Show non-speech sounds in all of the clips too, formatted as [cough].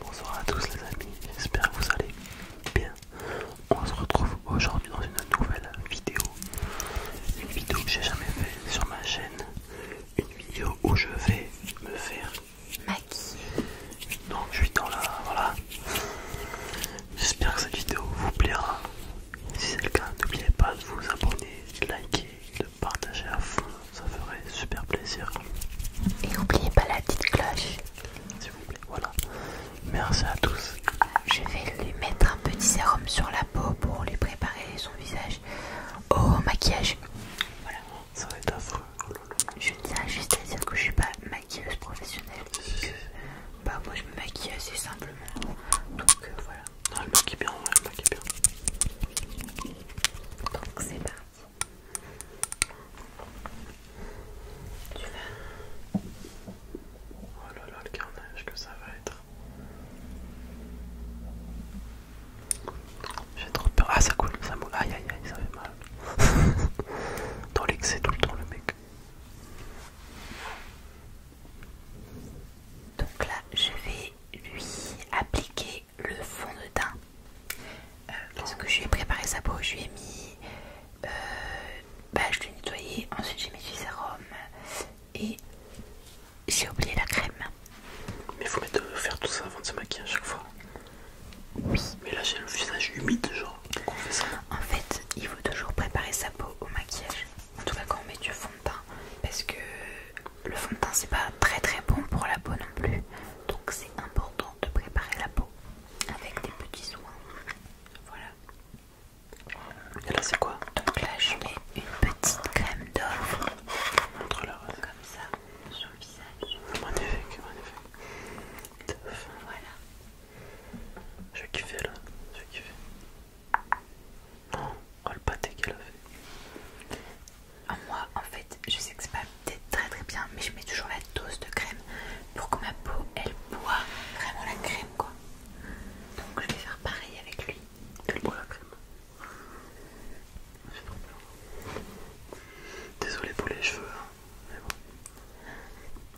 Bonsoir à tous les amis, j'espère que vous allez bien. On se retrouve aujourd'hui dans une nouvelle vidéo. Une vidéo que j'ai jamais faite sur ma chaîne. Une vidéo où je vais me faire maquiller. Donc je suis dans la... voilà. J'espère que cette vidéo vous plaira. Si c'est le cas, n'oubliez pas de vous abonner, de liker de partager à fond, ça ferait super plaisir. Et n'oubliez pas la petite cloche. S'il vous plaît, voilà. Merci à tous. Je vais lui mettre un petit sérum sur la peau pour lui préparer son visage au maquillage. Voilà. Ça va être affreux. Je tiens juste à dire que je suis pas maquilleuse professionnelle. bah moi je me maquille assez simplement. Donc euh, voilà. Non, ah, le mec bien, ouais, le mec bien. Donc c'est parti. Tu vas. Oh là là, le carnage que ça va être. J'ai trop peur. Ah, ça coule, ça moule. Aïe aïe aïe, ça fait mal. [laughs] Dans l'excès tout le temps, le mec. Donc là, je vais lui appliquer le fond de teint. Euh, parce que je lui ai préparé sa peau, je lui ai mis, euh, bah, je l'ai nettoyé, ensuite j'ai mis du sérum et j'ai oublié la crème. Mais il faut euh, faire tout ça avant de se maquiller chaque fois. Mais là j'ai le visage humide, genre. On fait ça. En fait, il faut toujours préparer sa peau au maquillage en tout cas quand on met du fond de teint parce que le fond de teint c'est pas très très bon pour la peau non plus donc c'est important de préparer la peau avec des petits soins voilà et là c'est quoi donc là je mets une petite crème d'or comme ça sur le visage magnifique magnifique voilà je kiffer là je kiffer Oh, le pâté qu'elle a fait. Ah, moi, en fait, je sais que c'est pas très très bien, mais je mets toujours la dose de crème pour que ma peau elle boit vraiment la crème quoi. Donc je vais faire pareil avec lui. qu'elle boit la crème. Désolé pour les cheveux, hein, mais bon.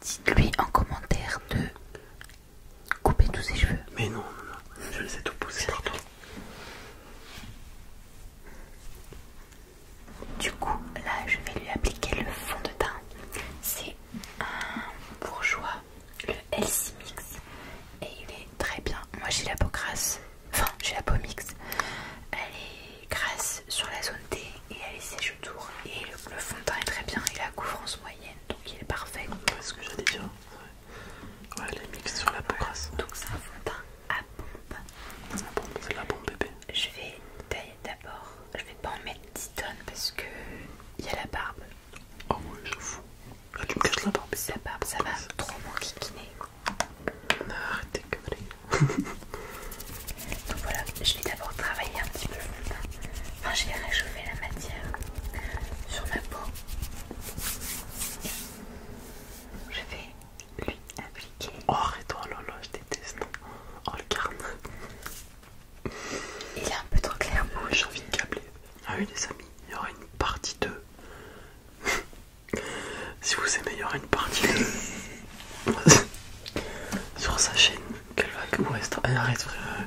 Dites-lui en commentaire de couper tous ses cheveux. Mais non, je les ai tout poussés partout. Du coup, là, je vais lui appliquer le fond de teint. C'est un bourgeois, le LC Mix, et il est très bien. Moi, j'ai la peau grasse, enfin, j'ai la peau mix Elle est grasse sur la zone T et elle est sèche autour. Et le, fond de teint est très bien, il a couvrance moyenne, donc il est parfait. C'est ce que j'allais Ouais, les mix sur la peau Donc c'est un fond à pompe. C'est de c'est la pompe bébé. Je vais tailler d'abord. Je vais pas en mettre 10 tonnes parce que il y a la barbe. Ah ouais, je fous. Là, ah, tu me caches la barbe. La barbe, ça va trop mon m'enquiquiner. Arrêtez que Donc voilà, je vais d'abord travailler un petit peu le fond de teint. Enfin, je vais réchauffer la matière sur ma peau. Je vais lui appliquer. Oh, arrête-toi, oh je déteste. Oh, le carne. Il est un peu trop clair. Oui, oh, j'ai envie de câbler. Ah oui, les amis, il y aura une partie 2. [laughs] si vous aimez, il y aura une partie 2. [laughs] sur sa chaîne qu'elle va. Eh, arrête, frère.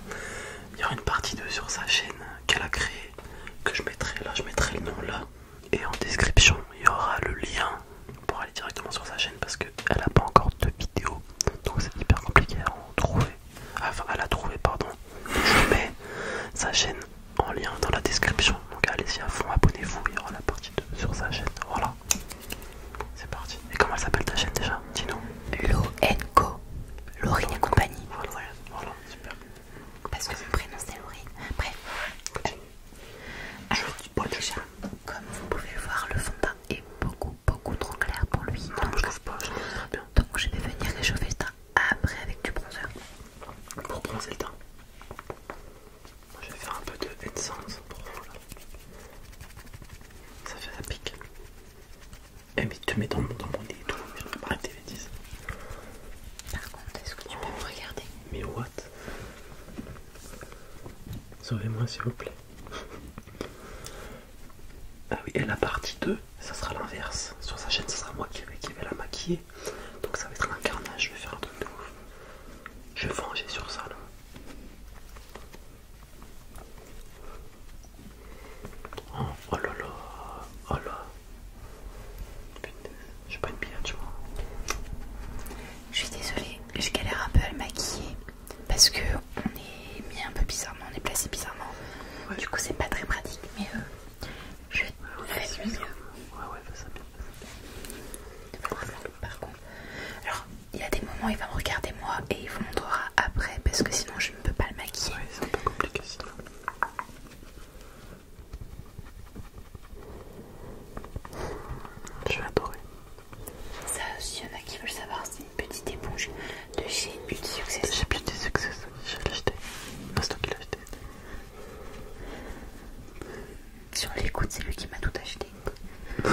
Il y aura une partie 2 sur sa chaîne qu'elle a créée que je mettrai là, je mettrai le nom là. Et en description, il y aura le lien pour aller directement sur sa chaîne parce qu'elle n'a pas encore de vidéo. Donc c'est hyper compliqué à en trouver. Ah, enfin, à la trouver, pardon. Je mets sa chaîne en lien dans la description. Donc allez-y à fond, abonnez-vous, il y aura la partie 2 sur sa chaîne. Voilà. C'est parti. Et comment elle s'appelle ta chaîne déjà Dis-nous. Lo Co. et compagnie. Voilà, voilà, super parce que mon prénom c'est Laurie. Bref, alors déjà, comme vous pouvez voir, le fond de teint est beaucoup beaucoup trop clair pour lui. donc, je pas, Donc je vais venir réchauffer le teint après avec du bronzer. Pour bronzer le teint, je vais faire un peu de essence pour euh, Ça fait la pique. Eh mais tu mets dans, dans mon nez et tout, par contre, est-ce que tu peux me regarder Mais what Sauvez-moi s'il vous plaît. ah oui, et la partie 2, ça sera l'inverse. Sur sa chaîne, ça sera moi qui vais, la maquiller. Donc ça va être un carnage, je vais faire un truc de ouf. Je vais venger sur ça là. Oh, oh là là, oh là. Je suis pas une je Je suis désolée, je galère un peu à le maquiller parce que on est mis un peu bizarrement, on est placé bizarrement. Du coup, c'est pas très pratique, mais euh, je vais ouais, ça bien. par contre, alors il y a des moments, il va me regarder moi et il vous montrera après parce que sinon je ne peux pas le maquiller. c'est un peu compliqué je vais adorer Ça aussi, il y en a qui veulent savoir, c'est une petite éponge de chez Beauty Success. plus de je l'ai acheté. C'est toi qui l'as acheté. Sur les c'est lui qui m'a tout acheté. [laughs] Moi,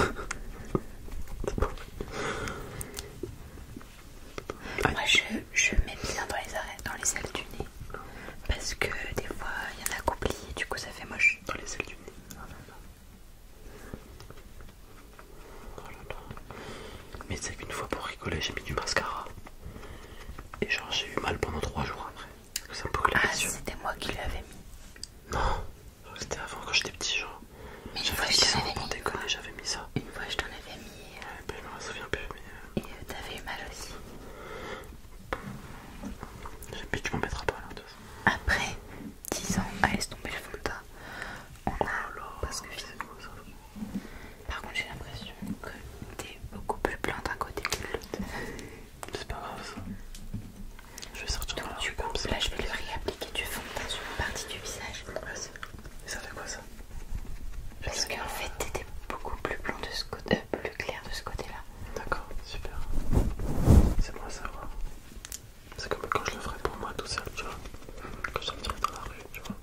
je, je mets bien dans les arêtes dans les ailes du nez. Parce que des fois il y en a qui du coup ça fait moche. Dans les ailes du nez. Ah, oh Mais c'est qu'une fois pour rigoler j'ai mis du mascara. Et genre j'ai eu mal pendant 3 jours après. ah c'était moi qui l'avais mis. Non, c'était avant quand j'étais petit genre. J'avais j'avais mis ça. Une fois je t'en avais mis et, ben, je souviens plus, euh. Et euh, t'avais eu mal aussi. Mais tu m'en mettras pas là, de toute façon. Après 10 ans à ah, laisser tomber le fond de teint, on Oh là, parce que ça Par contre, j'ai l'impression que t'es beaucoup plus blanc d'un côté que de l'autre. C'est pas grave ça. Je vais sortir de du coup, là, je vais le réappliquer du fond de teint sur une partie du visage. Et ça fait quoi ça parce qu'en fait, t'étais beaucoup plus blanc de ce côté, euh, plus clair de ce côté-là. D'accord, super. C'est moi, à savoir. C'est comme quand je le ferais pour moi tout seul, tu vois. Quand je sortirais dans la rue, tu vois.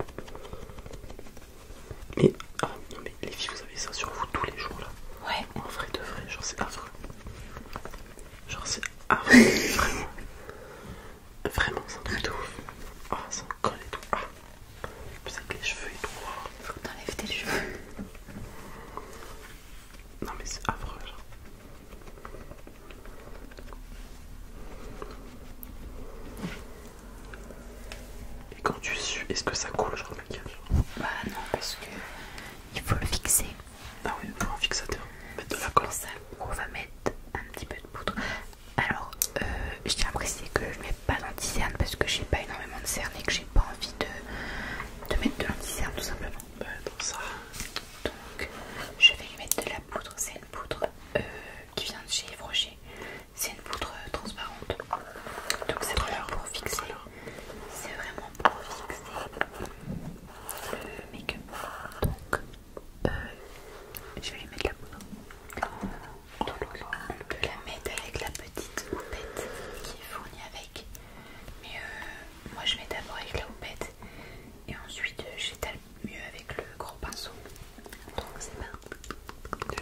Mais, ah, non, mais les filles, vous avez ça sur vous tous les jours là. Ouais. En vrai de vrai, genre c'est affreux. Genre c'est affreux, [laughs] vraiment. Vraiment, c'est un truc ouf. Ah, ça colle et tout. Ah. C'est que les cheveux droits. Hein. Il Faut que t'enlèves tes cheveux. Non mais c'est affreux Et quand tu sues, est-ce que ça coule genre le maquillage Bah non parce que il faut le fixer. Ah oui, faut un fixateur. Mettre de la colle. on va mettre un petit peu de poudre. Alors, euh, je tiens à préciser que je ne mets pas danti parce que j'ai pas énormément de cernes et que j'ai pas envie de, mettre de lanti tout simplement. Bah, ça. Donc, je vais lui mettre de la poudre. C'est une poudre euh, qui vient de chez Yves C'est une poudre euh, transparente. Donc, c'est vraiment pour fixer. C'est vraiment pour fixer le make-up. Donc, je vais lui mettre de la poudre. On peut la mettre avec la petite houppette qui est fournie avec. Mais euh, moi je mets d'abord avec la houppette et ensuite euh, j'étale mieux avec le gros pinceau. Donc c'est pas.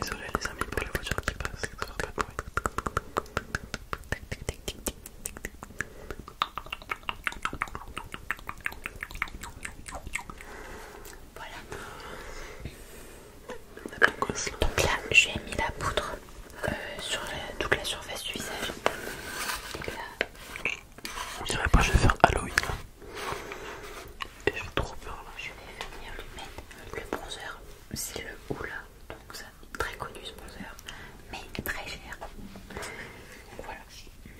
Désolé les amis pour les voitures qui passent, ça va pas de Voilà. Donc là, j'ai mis la poudre euh, sur toute la surface du visage. on pas, je vais faire Halloween. Et j'ai trop peur là. Je vais venir lui mettre le bronzer, c'est le Oula, donc ça, très connu ce bronzer, mais très cher. voilà.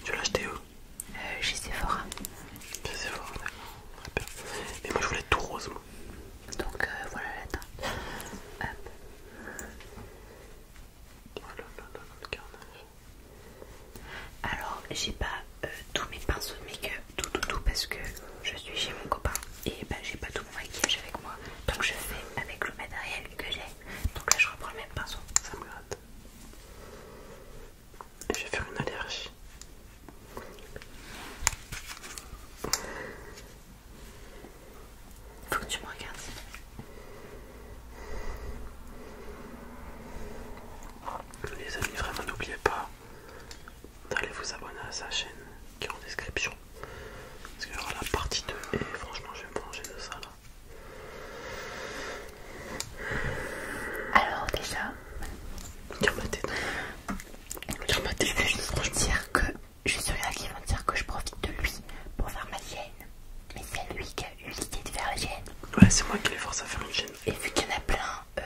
Tu l'as acheté où euh, Chez Sephora. Chez Sephora, d'accord. Et moi je voulais tout rose. Donc euh, voilà la Alors j'ai pas euh, tous mes pinceaux de make-up, tout tout tout parce que je suis chez mon copain et bah, j'ai pas tout mon maquillage avec moi. Donc je fais avec le matériel que j'ai. Donc là je reprends le même pinceau. Ça me gratte. Je vais faire une allergie. Faut que tu me regardes. Les amis, vraiment n'oubliez pas d'aller vous abonner à sa chaîne qui est en description. Parce qu'il y aura la partie 2 et franchement je vais me manger de ça là. Alors déjà... Tiens ma tête. Je vais juste dire que je suis là qu'ils vont dire que je profite de lui pour faire ma chaîne. Mais c'est lui qui a eu l'idée de faire la chaîne. Ouais, c'est moi qui l'ai force à faire une chaîne. Et vu qu'il y en a plein, euh,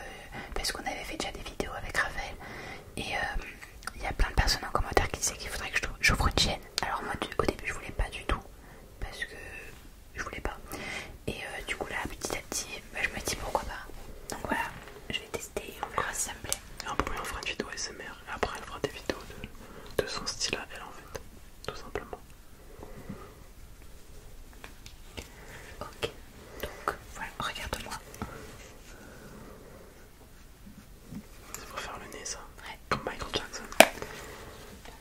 parce qu'on avait fait déjà des vidéos avec Raphaël, et euh, il y a plein de personnes en commentaire qui disaient qu'il faudrait que j'ouvre une chaîne. Alors moi, au début, je voulais pas du tout, parce que je voulais pas. Et euh, du coup, là, petit à petit, bah, je me dis pourquoi pas. Donc voilà, je vais tester on verra Et on fera une vidéo SMR et après, elle fera des vidéos de, son style à elle en fait, tout simplement. Ok, donc voilà, regarde-moi. C'est pour faire le nez, ça Ouais. Comme Michael Jackson.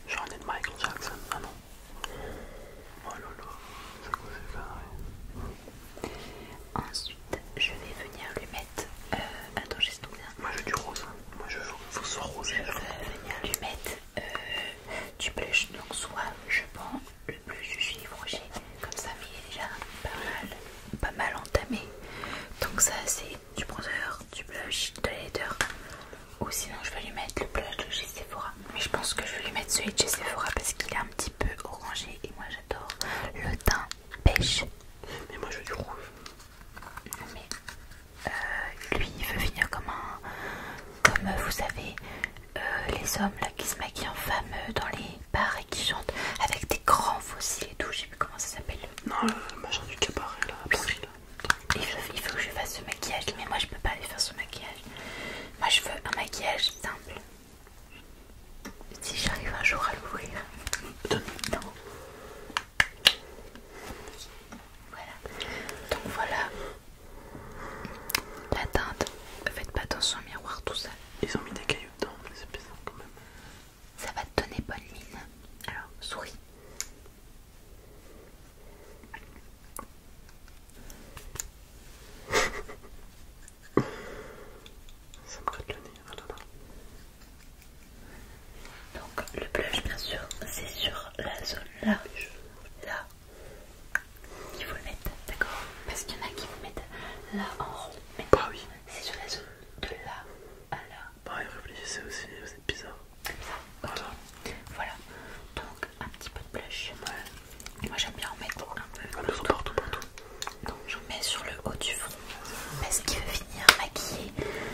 Genre un nez de Michael Jackson, ah non. Oh la, c'est ça carré. Ensuite, je vais venir lui mettre. Euh, attends, j'ai là Moi je veux du rose. Hein. Moi je veux soit rose. Je vais venir lui mettre euh, du blush. Donc, soit je prends le blush du Gilles Rocher, comme ça, il est déjà pas mal, entamé. Donc, ça c'est du bronzer, du blush, de l'aider. Ou sinon, je vais lui mettre le blush de chez Sephora. Mais je pense que je vais lui mettre celui de chez Sephora parce qu'il est un petit peu orangé et moi j'adore. Le teint pêche. Mais moi je veux du rouge. Mais euh, lui il veut finir comme un. Comme vous savez, euh, les hommes là qui se maquillent en fameux euh, dans les bars et qui chantent avec des grands fossiles et tout. Je sais plus comment ça s'appelle. Non, le machin du cabaret là, Il il veut que je fasse ce maquillage, mais moi je peux pas aller faire ce maquillage. Moi je veux un maquillage simple. Si j'arrive un jour à l'ouvrir. Voilà. Donc voilà. La teinte. Faites pas attention au miroir tout ça. Ils ont mis des cailloux dedans, mais c'est bizarre quand même. Ça va te donner bonne mine. Alors, souris. Ça me gratte le nez, Donc le blush bien sûr c'est sur la zone là, là, il faut le mettre, d'accord Parce qu'il y en a qui vous mettent là en rond. Mais bah C'est sur la zone de là à là. Bah, réfléchissez aussi, vous êtes bizarre. Comme ça, voilà. donc un petit peu de blush. Moi j'aime bien en mettre un peu ah, partout. partout. Donc je mets sur le haut du front parce qu'il veut finir maquiller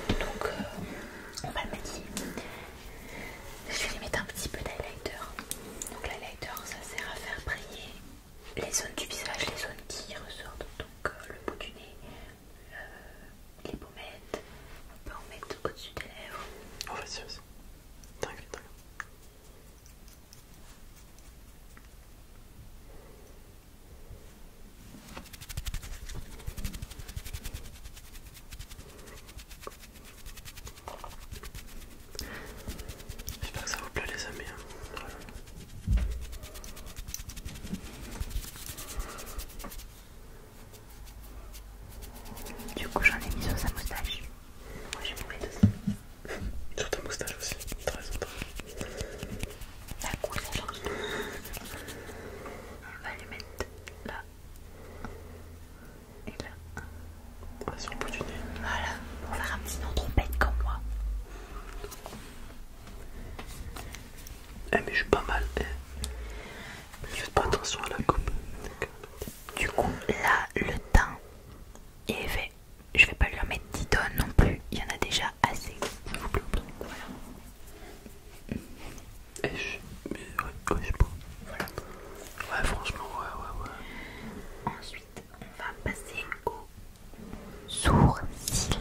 Donc euh, on va le maquiller. Je vais lui mettre un petit peu d'highlighter. Donc l'highlighter ça sert à faire briller les zones du visage, les zones qui ressortent. Donc euh, le bout du nez, euh, les pommettes. On peut en mettre au-dessus des lèvres. Oh vas-y, vas-y. J'espère que ça vous plaît les amis. Hein. Du coup j'en ai mis sur sa moustache. Moi j'ai mon aussi. Sur ta moustache aussi, très sympa. La couleur On va les mettre là et là. sur le bout du nez. Voilà, on va faire un petit nom trompette comme moi. Eh mais je suis pas mal. Eh. Faites pas attention à la coupe. Du coup, là, le teint, est fait je vais pas lui en mettre 10 tonnes non plus, il y en a déjà assez. Vous plaît, voilà. Mais ouais, pas. Voilà. Ouais, franchement, ouais, ouais, ouais. Ensuite, on va passer aux sourcils.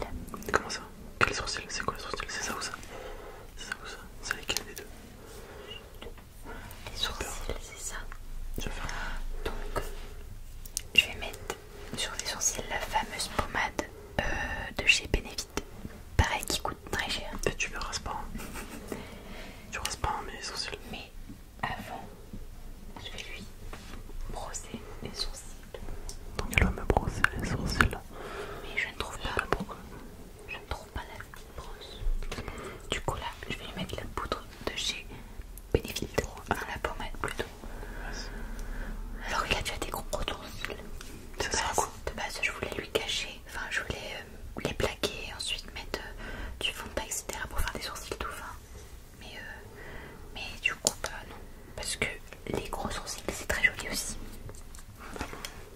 Comment ça Quels sourcils C'est quoi les sourcils C'est ça ou ça C'est ça ou ça C'est lesquels les deux Les sourcils, ça. Je Donc, je vais mettre sur les sourcils la fameuse pommade euh, de chez Benefit. Pareil, qui coûte très cher. Et tu le rases pas. [laughs] tu rases pas mes sourcils. Mais avant, je vais lui brosser les sourcils. Donc, elle va me brosser les sourcils. Mais je ne trouve pas. Je ne trouve pas la brosse. Du coup, là, je vais lui mettre la poudre de chez bénéfique à la pommade plutôt. Alors il a déjà des gros gros De, de base je voulais lui cacher, enfin je voulais euh, les plaquer, ensuite mettre euh, du fond de teint etc pour faire des sourcils tout fins. Mais, euh, mais du coup pas bah, non, parce que les gros sourcils c'est très joli aussi.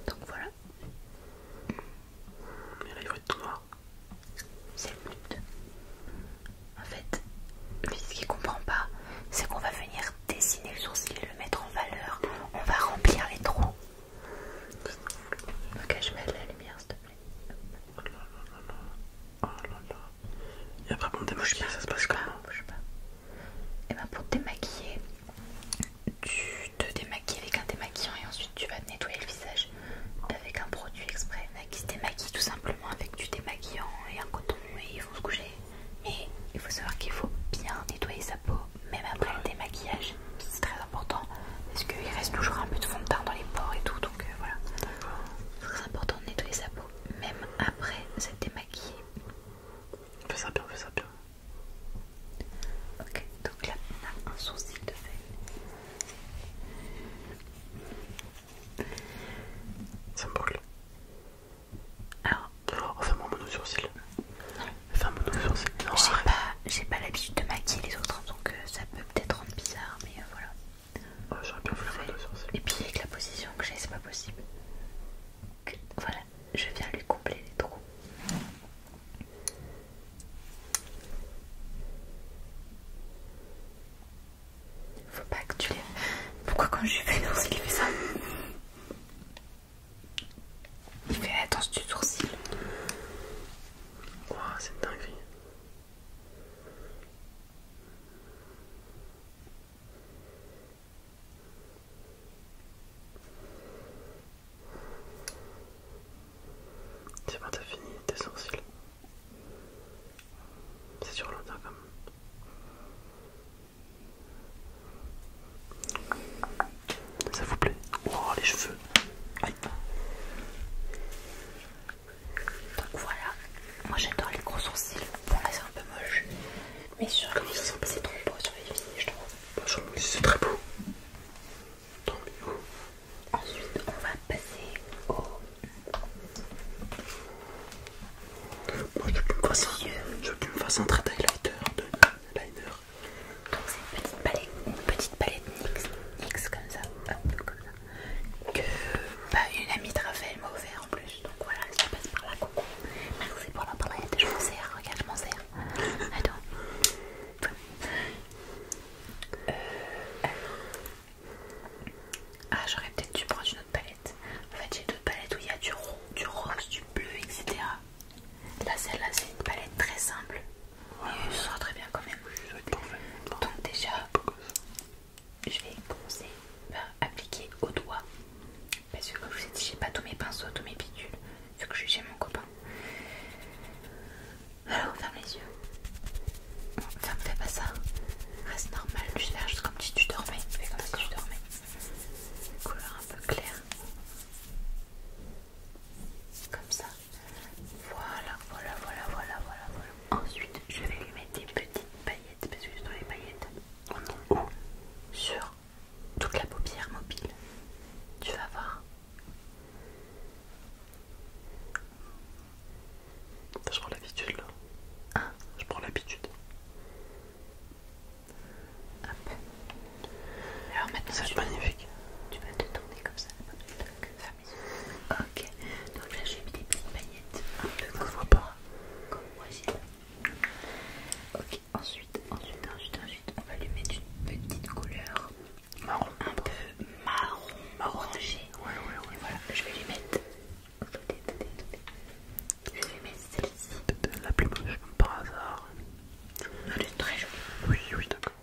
Donc voilà. Mais là il faut être tout c'est le but. En fait, lui ce qu'il comprend pas, c'est qu'on va venir dessiner le sourcil, le mettre en valeur, on va remplir les trous. Ok, je mets de la lumière s'il te plaît. Oh là là là là, Et après, pour démaquiller, ça se passe comment pas. Et eh ben pour te démaquiller, tu te démaquilles avec un démaquillant et ensuite tu vas nettoyer le visage avec un produit exprès. qui se démaquille tout simplement avec du démaquillant et un coton et il faut se coucher. Mais il faut savoir qu'il faut bien nettoyer sa peau, même après le démaquillage. C'est très important parce qu'il reste toujours un peu de fond de teint dans les pores et tout. Donc euh, voilà, c'est très important de nettoyer sa peau, même après s'être démaquillé. Fais ça bien, fais ça bien. Ok, donc là on a un sourcil de feuille. Ça me Alors, oh, mon J'ai pas, l'habitude de maquiller les autres, hein, donc euh, ça peut peut-être rendre bizarre, mais euh, voilà. J'aurais bien voulu sourcil. Et puis avec la position que j'ai, c'est pas possible. voilà, je viens lui combler les trous. Faut pas que tu les... Pourquoi quand je lui fais le il fait ça Il fait la danse du sourcil. Waouh, c'est une dinguerie. C'est bon, t'as fini tes sourcils. C'est sur quand même. Ça vous plaît Oh les cheveux Aïe. Donc voilà, moi j'adore les gros sourcils. Bon là c'est un peu moche. Mais sur le les c'est trop beau sur les finis je trouve. c'est très beau. Tant mieux. Ensuite, on va passer au. Moi, je veux que tu me fasses un trait highlighter de liner. Donc, c'est une petite palette, une petite palette NYX, comme ça, comme ça. Que bah, une amie de Raphaël m'a offert en plus. Donc voilà, je passe par là, coucou. Merci pour la palette, je m'en sers, regarde, je m'en sers. Attends. Euh, alors, ah, j'aurais peut-être dû prendre une autre palette. En fait, j'ai deux palettes où il y a du rouge du rose, du bleu, etc. Là, celle-là, c'est une palette très simple. Oui, et ça très bien quand même. Donc, déjà, je vais commencer par appliquer au doigt. Parce que, comme je vous ai dit, j'ai pas tous mes pinceaux, tous mes picules, vu que je suis mon copain. Alors, on ferme les yeux. Ferme, fais pas ça. Reste normal, je fais juste comme si tu dormais. Fais comme si tu dormais. couleur un peu claire. Comme ça. Voilà, voilà, voilà, voilà, voilà, Ensuite, je vais lui mettre des petites paillettes parce que dans les paillettes, sur toute la paupière mobile. Tu vas voir. Je prends l'habitude là. Ah. Je prends l'habitude. Hop. Alors maintenant, ça c'est magnifique. Tu vas te tourner comme ça. ok. Donc là, j'ai mis des petites paillettes. Un peu comme voit pas. Comme moi Ok. Ensuite, ensuite, ensuite, ensuite, on va lui mettre une petite couleur marron, un peu marron, marron orangé. Ouais, ouais, ouais. voilà. Je vais lui mettre je vais mettre celle-ci. La plus moche, comme par hasard. Elle est très jolie. Oui, oui, d'accord.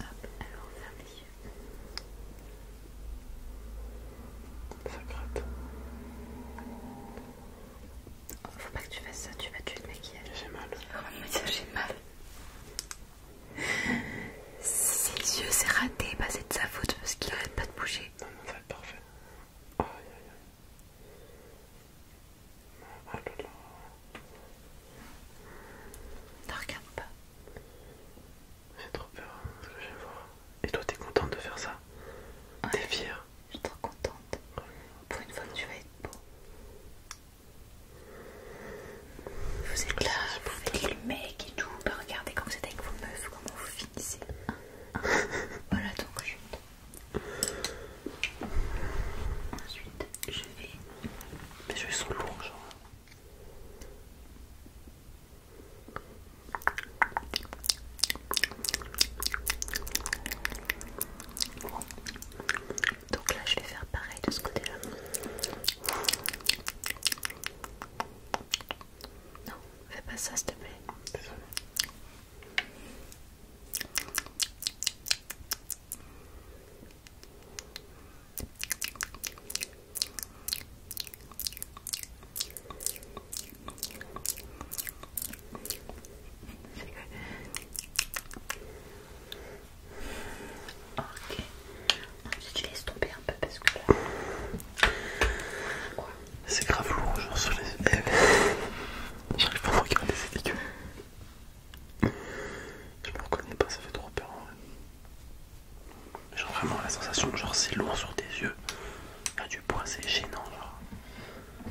Hop, alors fermez ferme les yeux. Ça gratte. faut pas que tu fasses ça, tu vas tuer le maquillage. J'ai mal. Vraiment, oh, mais ça, j'ai mal. Ses yeux, s'est raté, bah, c'est de sa faute parce qu'il arrête pas de bouger. Non, non, ça va être parfait. Aïe aïe aïe. Ah, ne regarde pas. J'ai trop peur hein, ce que je Et toi, t'es contente de faire ça T'es fière Je suis trop contente. Pour une fois que tu vas être beau. Vous êtes là, vous faites les mecs et tout. Bah, regardez quand vous êtes avec vos meufs, comment vous finissez. [laughs] voilà donc je... Ensuite, je vais. Mais je sont lourds, genre. Donc là, je vais faire pareil de ce côté-là. Non, fais pas ça s'il te plaît. Ok. Tu tu laisse tomber un peu parce que là. C'est grave lourd, genre sur les. yeux. J'arrive pas à regarder, c'est dégueu. Je me reconnais pas, ça fait trop peur en Genre vraiment la sensation que genre c'est lourd sur tes yeux. Là du poids c'est gênant genre.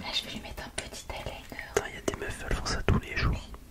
Là je vais lui mettre un petit Il y a des meufs qui font ça tous les jours.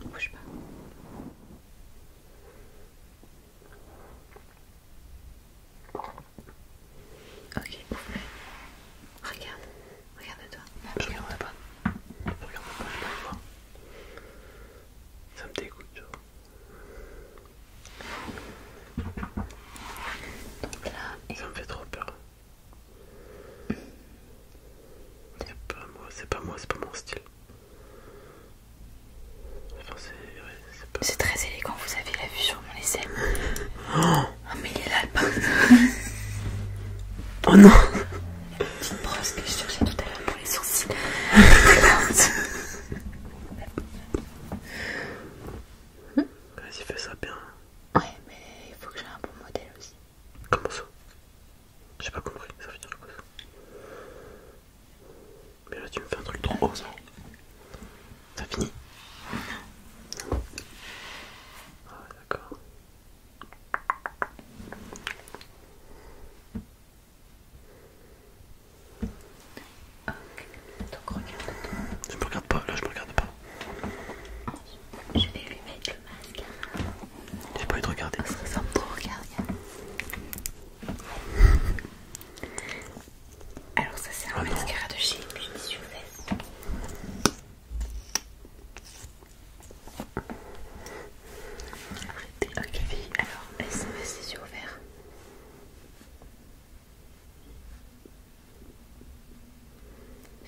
Ne bouge pas. Ok, ouvre-le. Regarde, regarde-toi. Je regarde pas. Je regarde pas, je ne peux voir. Ça me dégoûte, tu vois. Donc là, ça me fait trop peur. C'est pas moi, c'est pas, moi, c'est pas mon style. c'est très élégant, vous avez la vue sur mon essai. Oh, ah, mais il est là le Oh non La petite brosse que je cherchais tout à l'heure pour les sourcils. Vas-y, fais ça bien. Ouais, mais il faut que j'ai un bon modèle aussi. Comment ça J'ai pas compris, ça veut dire quoi ça Mais là tu me fais un truc trop haut ça T'as fini Ah d'accord Ok, donc regarde. Je me regarde pas, là je me regarde pas je vais lui mettre le mascara J'ai pas eu de regarder. Ça ressemble trop, regarde. Alors, ça, c'est un ah mascara de chez Clinique Arrêtez, ok, Alors, laisse moi les yeux ouverts.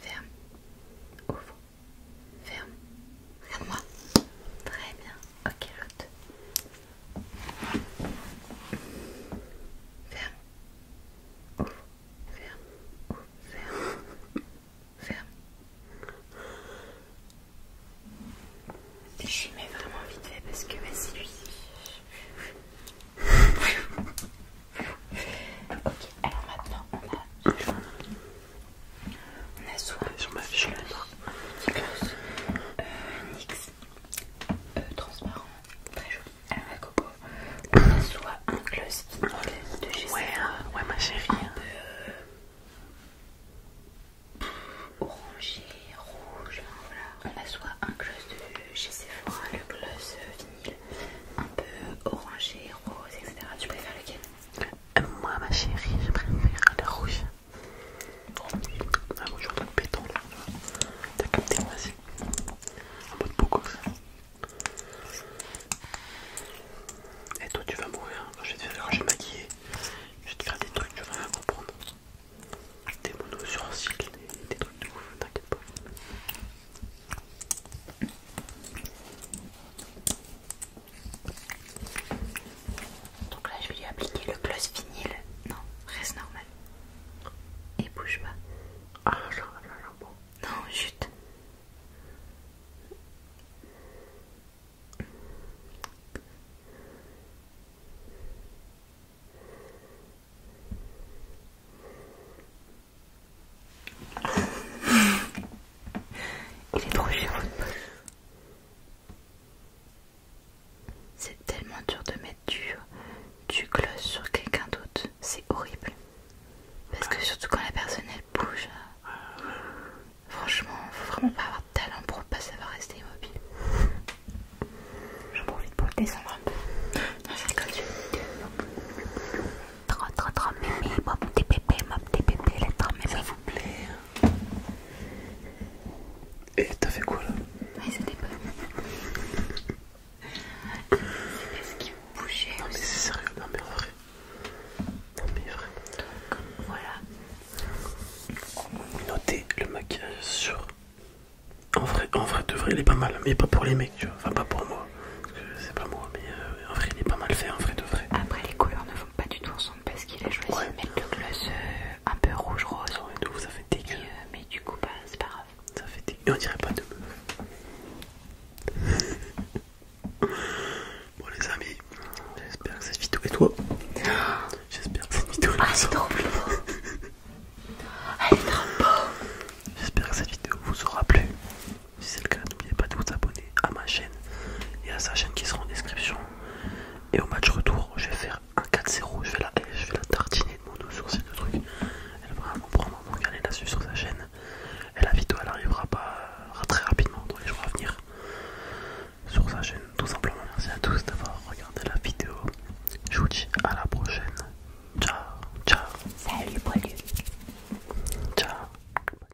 Ferme, ouvre, Ferme. Regarde-moi. Très bien. Ok, l'autre. Ferme. Ferme. Ferme. Ferme. Je lui mets vraiment vite fait parce que vas-y ok, alors maintenant on a on a soit sur ma fiche NYX euh, euh, transparent, très joli, la euh, coco. [laughs] On a soit un gloss de chez ouais, hein. un hein. peu orangé, rouge, hein, voilà. On a soit un gloss de chez Sephora, le gloss vinyle, un peu orangé, rose, etc. Tu préfères lequel moi, ma chérie, je préfère la rouge. La rouge, je suis béton là. T'as capté, vas-y. En mode beaucoup. Et toi, tu vas mourir. Quand je vais te faire maquiller, je vais te faire des trucs, tu vas rien comprendre. Des monos sur un cycle, des, des trucs de ouf, t'inquiète pas. Donc là, je vais lui appliquer le gloss vinyle. Non, reste normal. Et bouge pas. Ah là là là, bon. Non, chute. Il est trop C'est tellement dur de mettre du, du gloss sur quelqu'un d'autre. C'est horrible. Parce que surtout quand la personne elle bouge. Euh, franchement, faut vraiment pas avoir de talent pour pas savoir rester immobile. Je profite pour le descendre un peu. Non, Trop, trop, trop mimi, m'a petit bébé, m'a petit bébé, Ça vous plaît hein. Et t'as fait quoi là Ouais c'était pas. Est-ce qu'il bougeait Non, mais c'est sérieux, non, mais en vrai. Non, mais vrai Donc, voilà. Notez le maquillage sur. En vrai, en vrai, de vrai, il est pas mal, mais pas pour les mecs, tu vois. Enfin, pas pour moi. Parce que c'est pas moi, mais euh, en vrai, il est pas mal fait, en vrai, de vrai. Après, les couleurs ne pas du tout ensemble parce qu'il a choisi de mettre le gloss euh, un peu rouge rose. ça fait dégueu. Euh, mais du coup, bah, c'est pas grave. Ça fait dégueu. Et on dirait pas de meuf. [laughs] bon, les amis, j'espère que cette vidéo. est toi [gasps] J'espère que cette vidéo. Ah, c'est trop beau. [laughs] Elle est trop beau. J'espère que cette vidéo vous aura plu. Si c'est le cas, n'oubliez pas de vous abonner à ma chaîne et à sa chaîne qui sera en description. Et au match retour, je vais faire un 4-0. Je vais la eh, je vais la tartiner de mon dos sur ces deux trucs. Elle va vraiment prendre mon regarder là-dessus sur sa chaîne. Et la vidéo elle arrivera pas euh, très rapidement dans les jours à venir sur sa chaîne. Tout simplement, merci à tous d'avoir regardé la vidéo. Je vous dis à la prochaine. Ciao, ciao. Salut, Ciao.